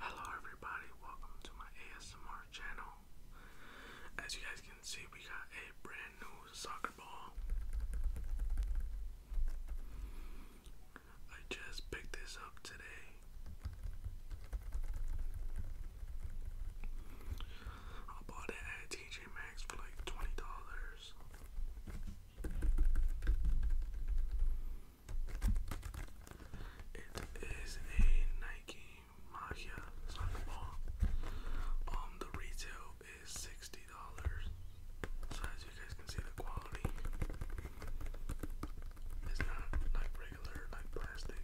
Hello everybody, welcome to my ASMR channel. As you guys can see, we got a brand new soccer ball. I just picked this up today. I bought it at TJ Maxx for like $20. It is a Nike Magia soccer ball. Um, the retail is sixty dollars. So as you guys can see, the quality is not like regular like plastic.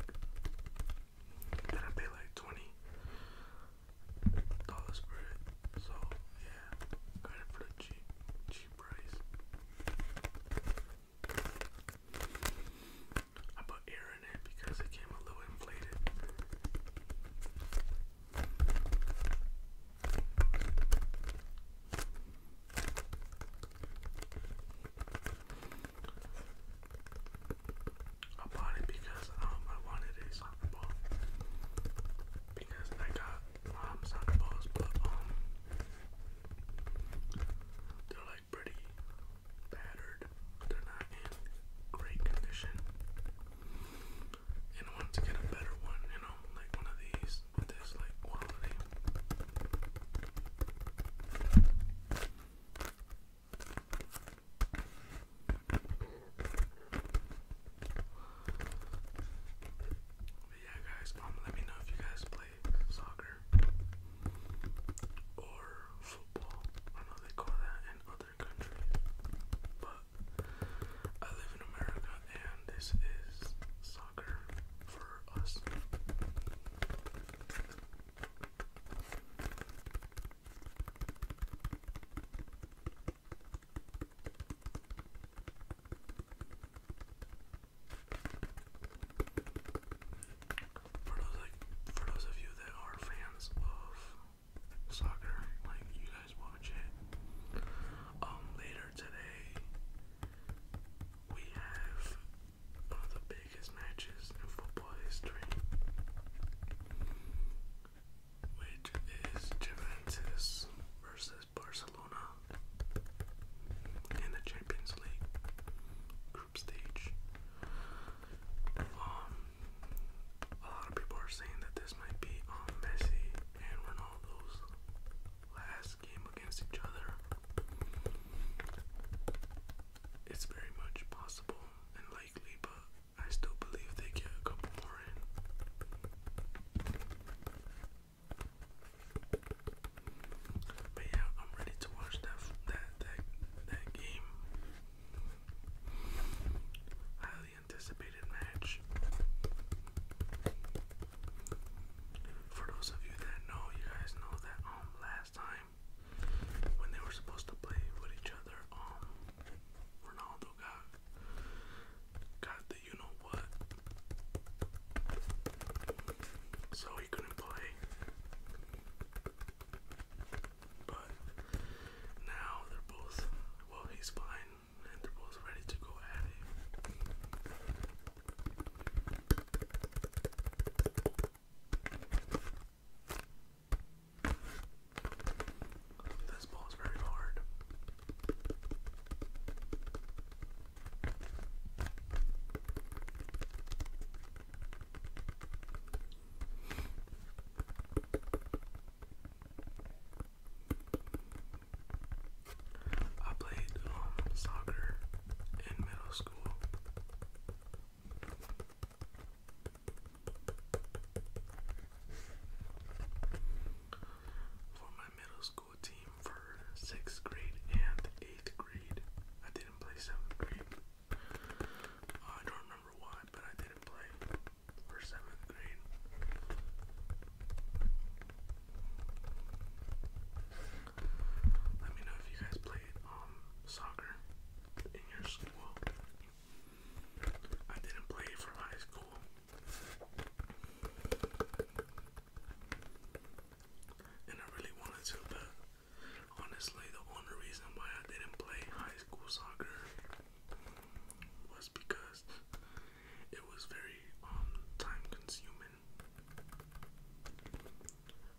And I pay like twenty dollars for it. So yeah, kind of for cheap cheap price. I put air in it because it came a little inflated. I bought it because um I wanted a soccer ball because I got um, soccer balls, but um, they're like pretty battered. They're not in great condition. And I wanted to get a better one, you know, like one of these with this like quality. But yeah, guys, um, let me know if you guys play play soccer or football. I know they call that in other countries, but I live in America and this is soccer for us. For those like for those of you that are fans of soccer, like you guys watch it. Um later today we have one of the biggest matches in football history. Which is Juventus versus Barcelona in the Champions League group stage. Um, a lot of people are saying that this might be um, Messi and Ronaldo's last game against each other. It's very much possible and likely, but I still believe they get a couple more in. But yeah, I'm ready to watch that that that that game. Highly anticipated match. For those of you that know, you guys know that um last time when they were supposed to play with each other, um Ronaldo got you know what? So he couldn't play. But now they're both, well, he's fine, and they're both ready to go at it. This ball very hard. I played um, soccer in middle school. For my middle school team for sixth grade and eighth grade. I didn't play seventh grade. Uh, I don't remember why, but I didn't play for seventh grade. Let me know if you guys played um soccer in your school. I didn't play for high school and I really wanted to, but honestly, the only reason why I didn't play high school soccer was because it was very um, time consuming.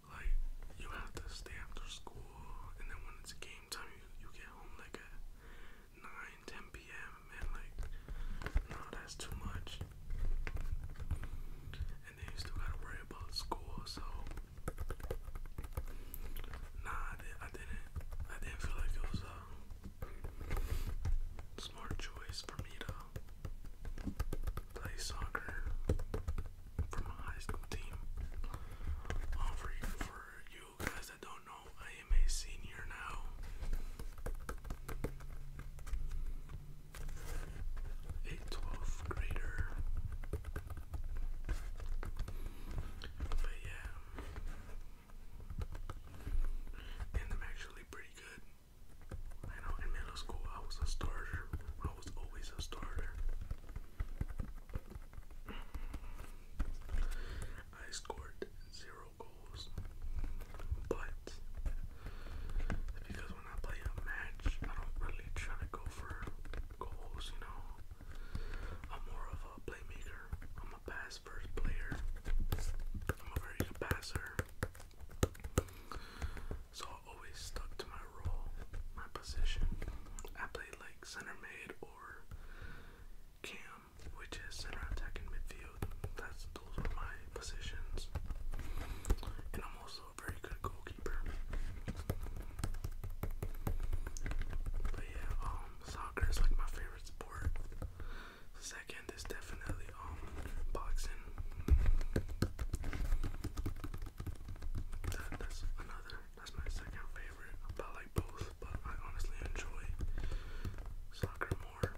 Like you have to stay after school, and then when it's game time, you you get home like at 9, p.m. and like no, that's too much. And then you still gotta worry about school, so nah, I, did, not I didn't feel like it was a smart choice for me to play soccer from a high school team. Um, for you guys that don't know, I am a senior now a 12th grader. But yeah. And I'm actually pretty good. I know in middle school I was a starter. I was always a starter. I scored zero goals but because when I play a match, I don't really try to go for goals, you know. I'm more of a playmaker. I'm a pass first player. I'm a very good passer. So I always stuck to my role, my position. I play like center mid or cam, which is center attack midfield. That's those are my positions. And I'm also a very good goalkeeper. But yeah, um, soccer is like my favorite sport. Second is definitely um boxing. That, that's another. That's my second favorite. I like both, but I honestly enjoy soccer more.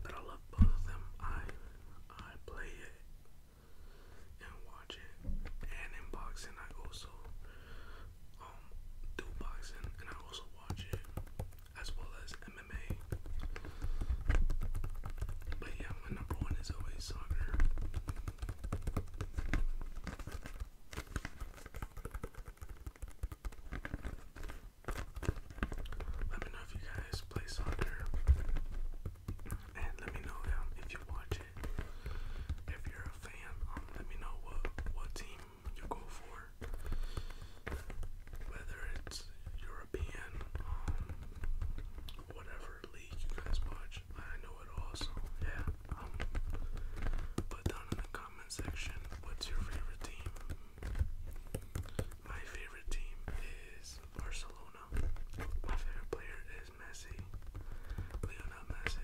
But I love both of them. I I play it and watch it, and in boxing I also um, do boxing and I also watch it as well as MMA. But yeah, my number one is always soccer. Let me know if you guys play soccer, and let me know um, if you watch it. If you're a fan, um, let me know what what team you go for. Whether it's European, um, whatever league you guys watch, I know it also. Yeah. put down in the comment section what's your favorite team. My favorite team is Barcelona. My favorite player is Messi. Lionel Messi.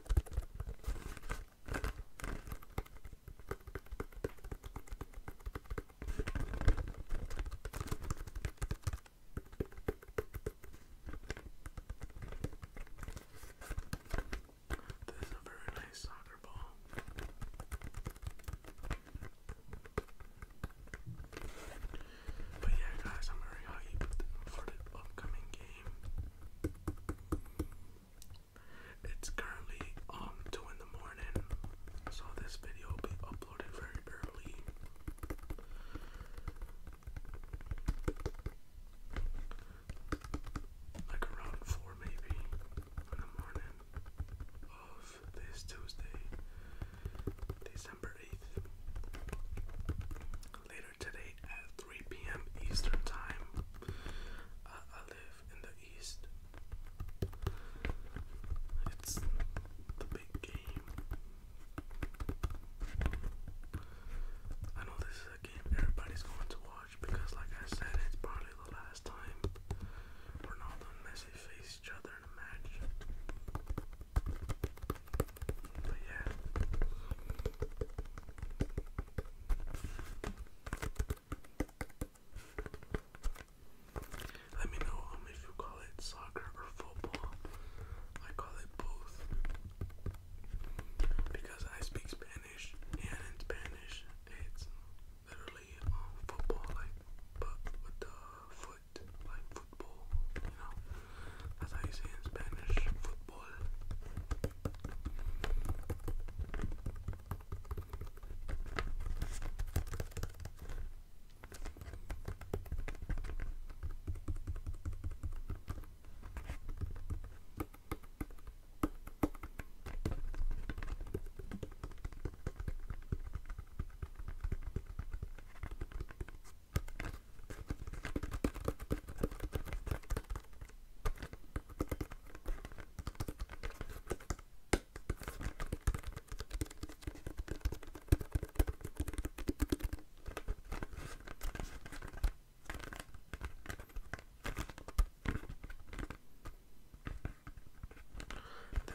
This is a very nice soccer ball. But yeah, guys, I'm very hyped for the upcoming game. It's currently um two in the morning, so this video will be uploaded very early. Like around four maybe in the morning of this Tuesday, December eighth later today at 3 p.m. Eastern Time. Uh, I live in the East. It's the big game. I know this is a game everybody's going to watch because, like I said, it's probably the last time Ronaldo and Messi face each other in a match. Let me know um, if you call it soccer or football. I call it both because I speak Spanish, and in Spanish it's literally um, football, like but with the foot, like football, you know as you say in Spanish, football.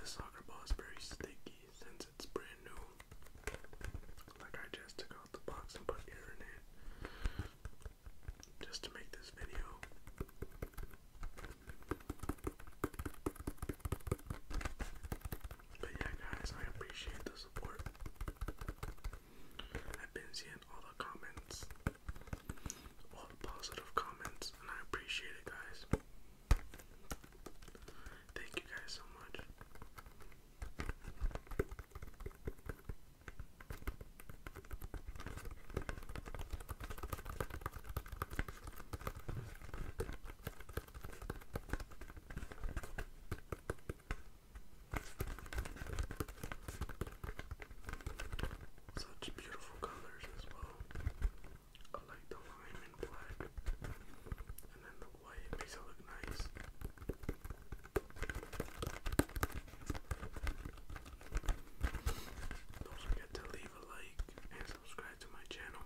This soccer ball is very sticky since it's brand new. Like I just took just to make this video. But yeah, guys, I appreciate the support. I've been seeing all the comments, all the positive comments, and I appreciate it, guys. Thank you guys so much. Such beautiful colors as well. I like the lime and black, and then the don't forget to leave a like and subscribe to my channel.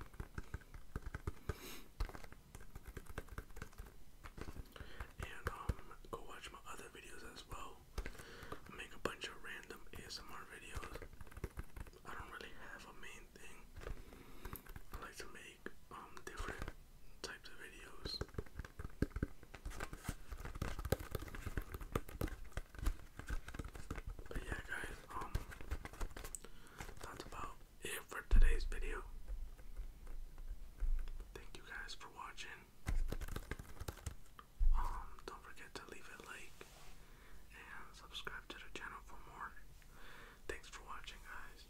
And um go watch my other videos as well. I make a bunch of random ASMR videos. I don't really have a main thing. I like to make um, different types of videos. But yeah guys, um, that's about it for today's video. Thank you guys for watching. Um, don't forget to leave a like and subscribe to the channel for more. Thanks for watching guys.